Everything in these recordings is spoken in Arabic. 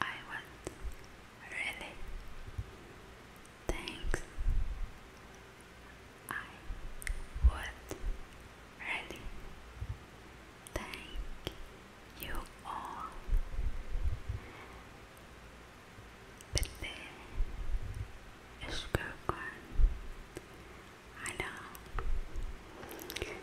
I want really thanks. I would really thank you all. Bitte ist gut. I know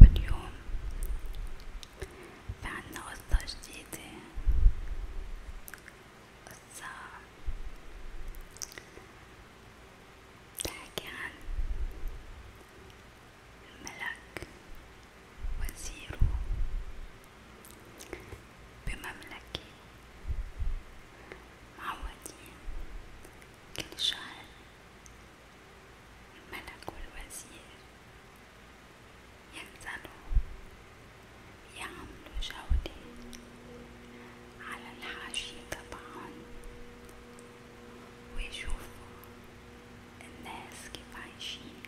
واليوم في عنا قصة جديدة قصة بتحكي عن الملك وزيره بمملكة معودين كل شهر ملك الوزير ينزل يعمل جولة على الحاشية طبعا ويشوفوا الناس كيف عايشين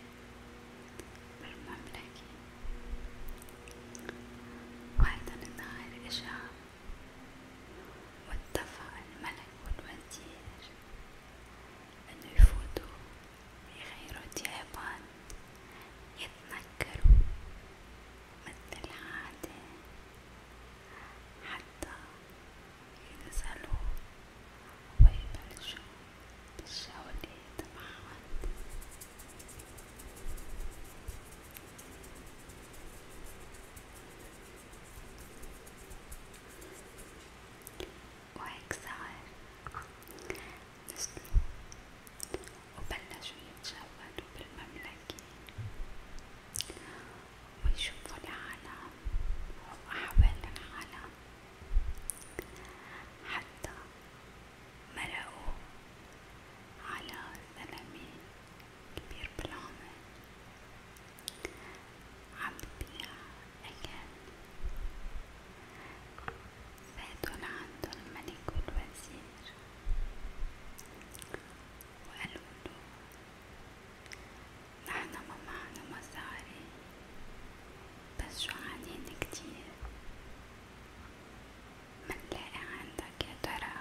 بالمملكة وهيدا النهار إجا واتفق الملك والوزير أنه يفوتوا يغيروا ثيابهم يتنكروا مثل العادة حتى ينزلوا ويبلشوا بالشغلة تبعهم وهيك صار نزلوا وبلشوا يتجولوا بالمملكة ويشوفوا العالم وأحوال العالم حتى مرقوا على زلمة كبير بالعمر عم ببيع أكل فاتن عند الملك والوزير وقالوا له نحن ما معنا مصاري بس جوعانين كتير منلاقي عندك يا ترى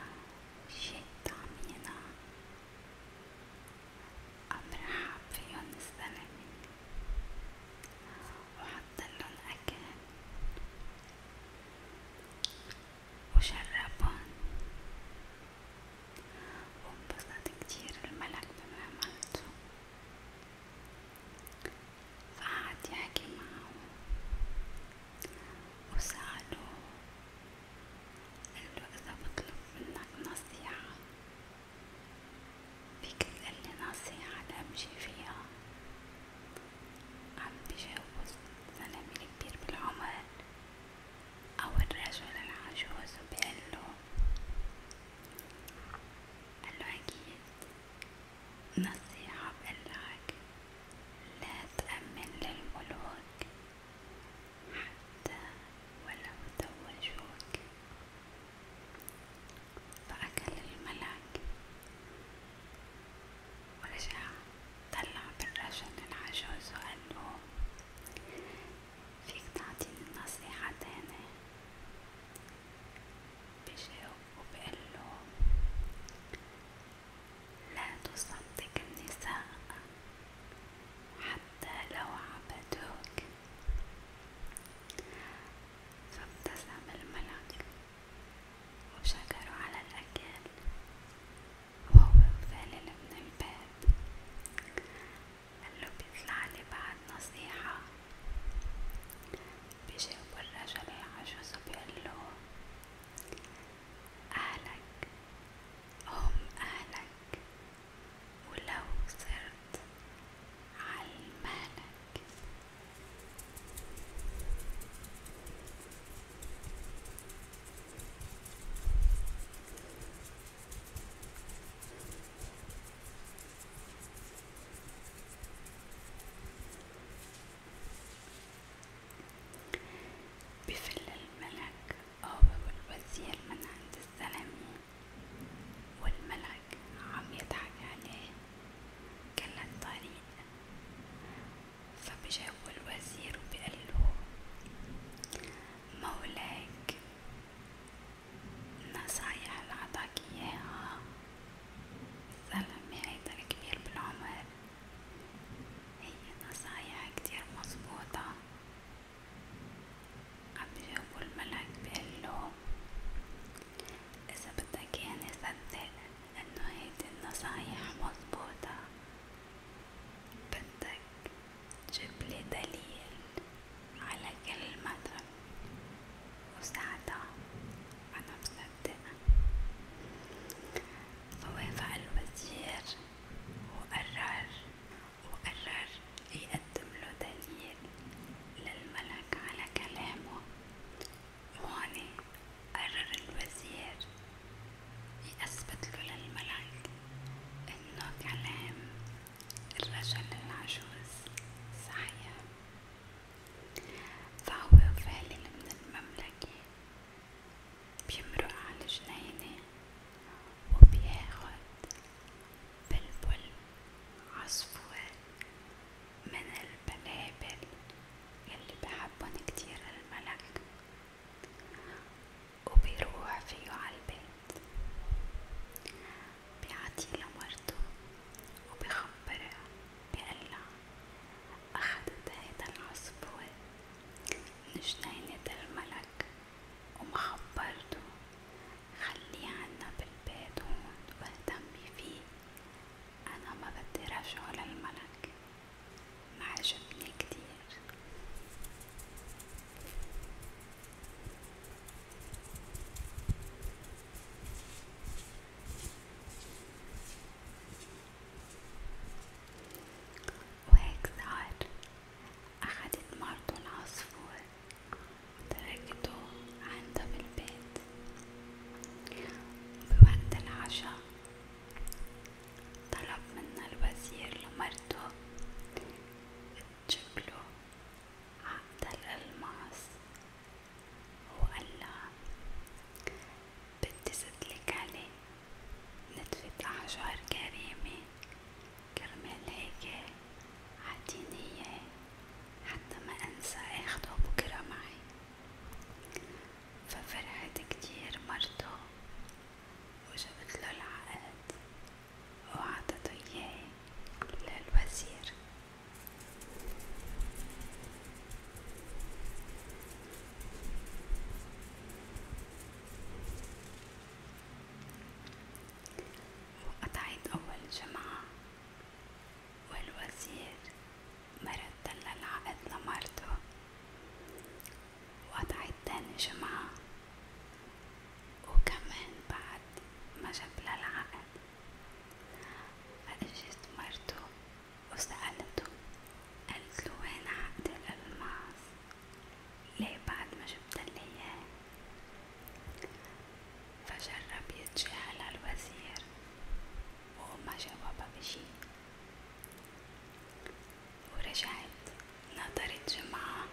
شي تعمينا أمرحب فيهن السنة وحطلن أكل وشربن وانبسط كتير الملك بما عملته فقعد يحكي معه وسألوه قلو إذا بطلب منك نصيحة فيك تقلي نصيحة لأمشي فيها عم بجوز زلمة الكبير بالعمر أو الرجل العجوز وبقلو قلو أكيد نصيحة بقلك لا تأمن للملوك حتى ولو زوجوك فأكل الملك ورجع طلع بالرجل العجوز وقاله فيك تعطيني نصيحة تانية بجاوب وبقله لا تصدق النساء حتى حتى لو عبدوك فابتسم الملك وشكروا على الأكل وهو مفلل من الباب قاله بيطلعلي بعد نصيحة بيجاوب الرجل العجوز وبيقله أهلك هم أهلك ولو صرت علمانك بفل الملك أو بيقول وزير من عند الزلمة والملك عم يضحك عليه كل الطريق فبجاوب الوزير وبقله مولاك النصايح اللي عطاك اياها الزلمة هيدا الكبير بالعمر هي نصايح كتير مظبوطة عم يجاوبو الملك بيقلهم إذا بدك ياني صدق إنه هيدي النصايح مظبوطة بدك تجيبلي دليل على كلمة وساعتها أنا مصدقة فوافق الوزير وقرر وقرر يقدم له دليل للملك على كلامه وهون قرر الوزير يثبت له للملك انه كلام الرجل العجوز صحيح فهو فعلا من المملكة بيمرق على جنينة وبياخد بلبل عصفور من البلابل يلي بحبن كتير الملك وبيروح فيه عالبيت بيعطيه لمرته وبخبرها بقلها أخدت هيدا العصفور من جنينة الملك وما خبرته خليه عنا بالبيت هون واهتمي فيه أنا ما بدي رجعه للملك ما عجبني كتير وهيك صار أخدت مرته العصفور وتركته عندها في البيت بوقت العشاء طلب منا الوزير لمرته تجبله عقد الألماس وقالها بدي سدلك عليه نتفة أحجار كريمة كرمال هيك عطيني اياه حتى ما انسى اخده بكرة معي ففرحت كتير مرته وجبتله العقد وعطته اياه للوزير وقطعت أول جمعة والوزير مرتل العقد لمرته وقطعت تاني جمعة وكمان بعد ما جاب العقد فاجت مرته وسألته قالتلو وين عقد الألماس ليه بعد ما جبتلي اياه فجرب يتجاهل الوزير وما جاوبها بشي ورجعت نظرت جمعة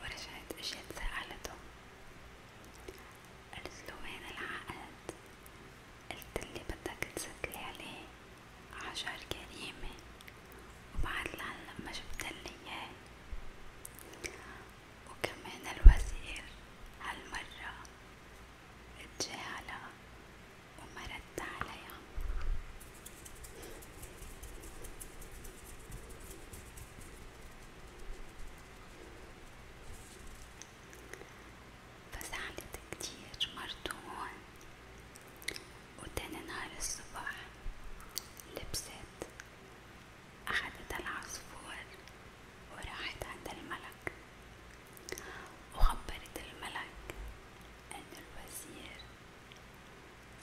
ورجعت اجت سألته قلتله وين العقد قلتلي بدك تسدلي عليه عشر جريمة وبعد لعل ما جبتلي اياه وكمان الوزير هالمرة اتجاهلها وما رد عليها فزعلت كتير مرته هون وتاني نهار الصباح لبست أخدت العصفور وراحت عند الملك وخبرت الملك أن الوزير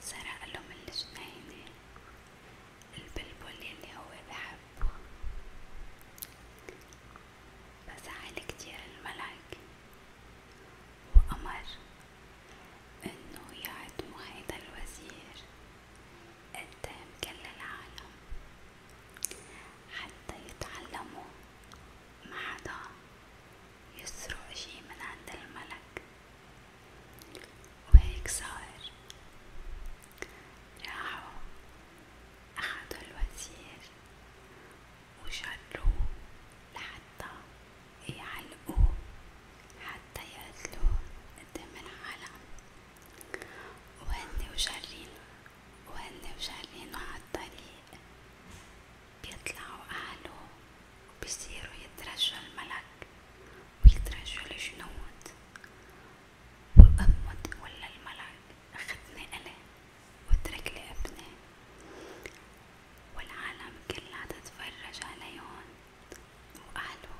سرق له من الجنينة البلبل اللي هو بحبه فزعل كتير الملك وأمر إنه يعدموا هيدا الوزير قدام كل العالم حتى يتعلموا ما حدا يسرق شي من عند الملك وهيك صار راحوا أخدوا الوزير وجروه لحتى يعلقوه حتى يقتلوه قدام العالم وهن وجارين وهن وجارينه عالطريق بيطلعوا أهله وبيصيروا يترجوا الملك ويترجوا الجنود وأمه ولا الملك أخدني أنا واترك لي ابني والعالم كلها تتفرج عليهم وأهله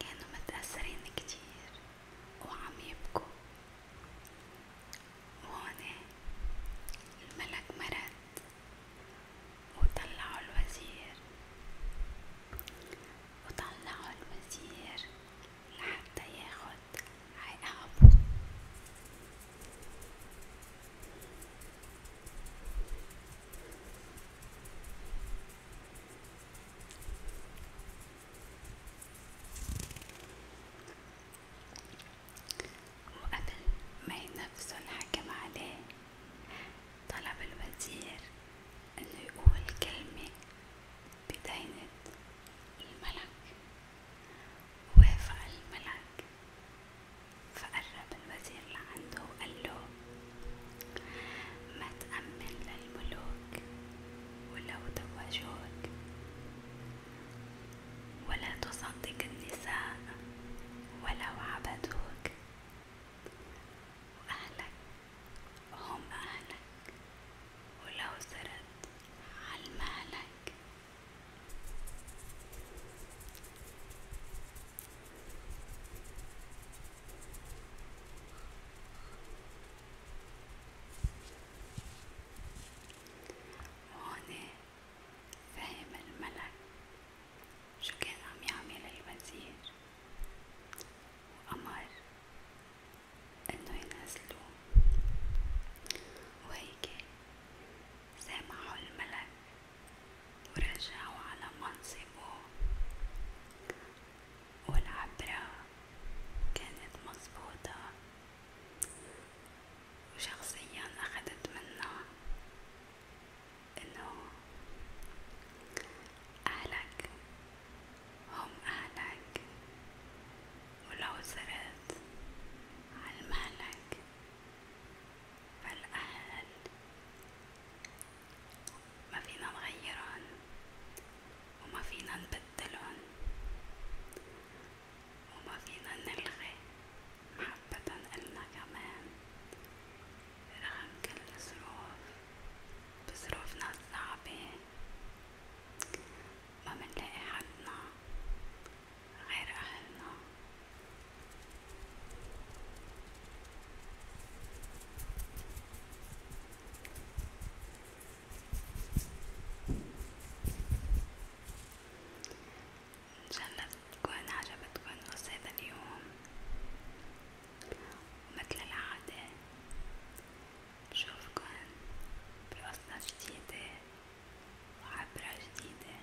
كانوا متأثرين كتير وعم يبكوا وهون الملك مرض وطلعوا الوزير وطلعوا الوزير لحتى ياخد عقابه وقبل ما ينفذوا الحكم عليه طلب الوزير انه يقول كلمة بدينة الملك وافق الملك فقرب الوزير لعنده وقال له ما تأمن للملوك ولو زوجوك ولا تصدق النساء ولو عبدوك وأهلك هم أهلك ولو سرت على مالك وهون فهم الملك شو كان عم يعمل الوزير وأمر إنه ينزلوه وهيك سامحوا الملك ورجعوا على منصبه والعبرة كانت مظبوطة وشخصيا أخدت منها إنه أهلك هم أهلك ولو زرت على مهلك فالأهل ما فينا نغيرهن وما فينا نبدلهن وما فينا نلغي محبة إلنا كمان رغم كل الظروف بظروفنا الصعبة ما منلاقي حدنا غير أهلنا إن شاء الله تكون عجبتكم قصة اليوم ومثل العادة بشوفكن بقصة جديدة وعبرة جديدة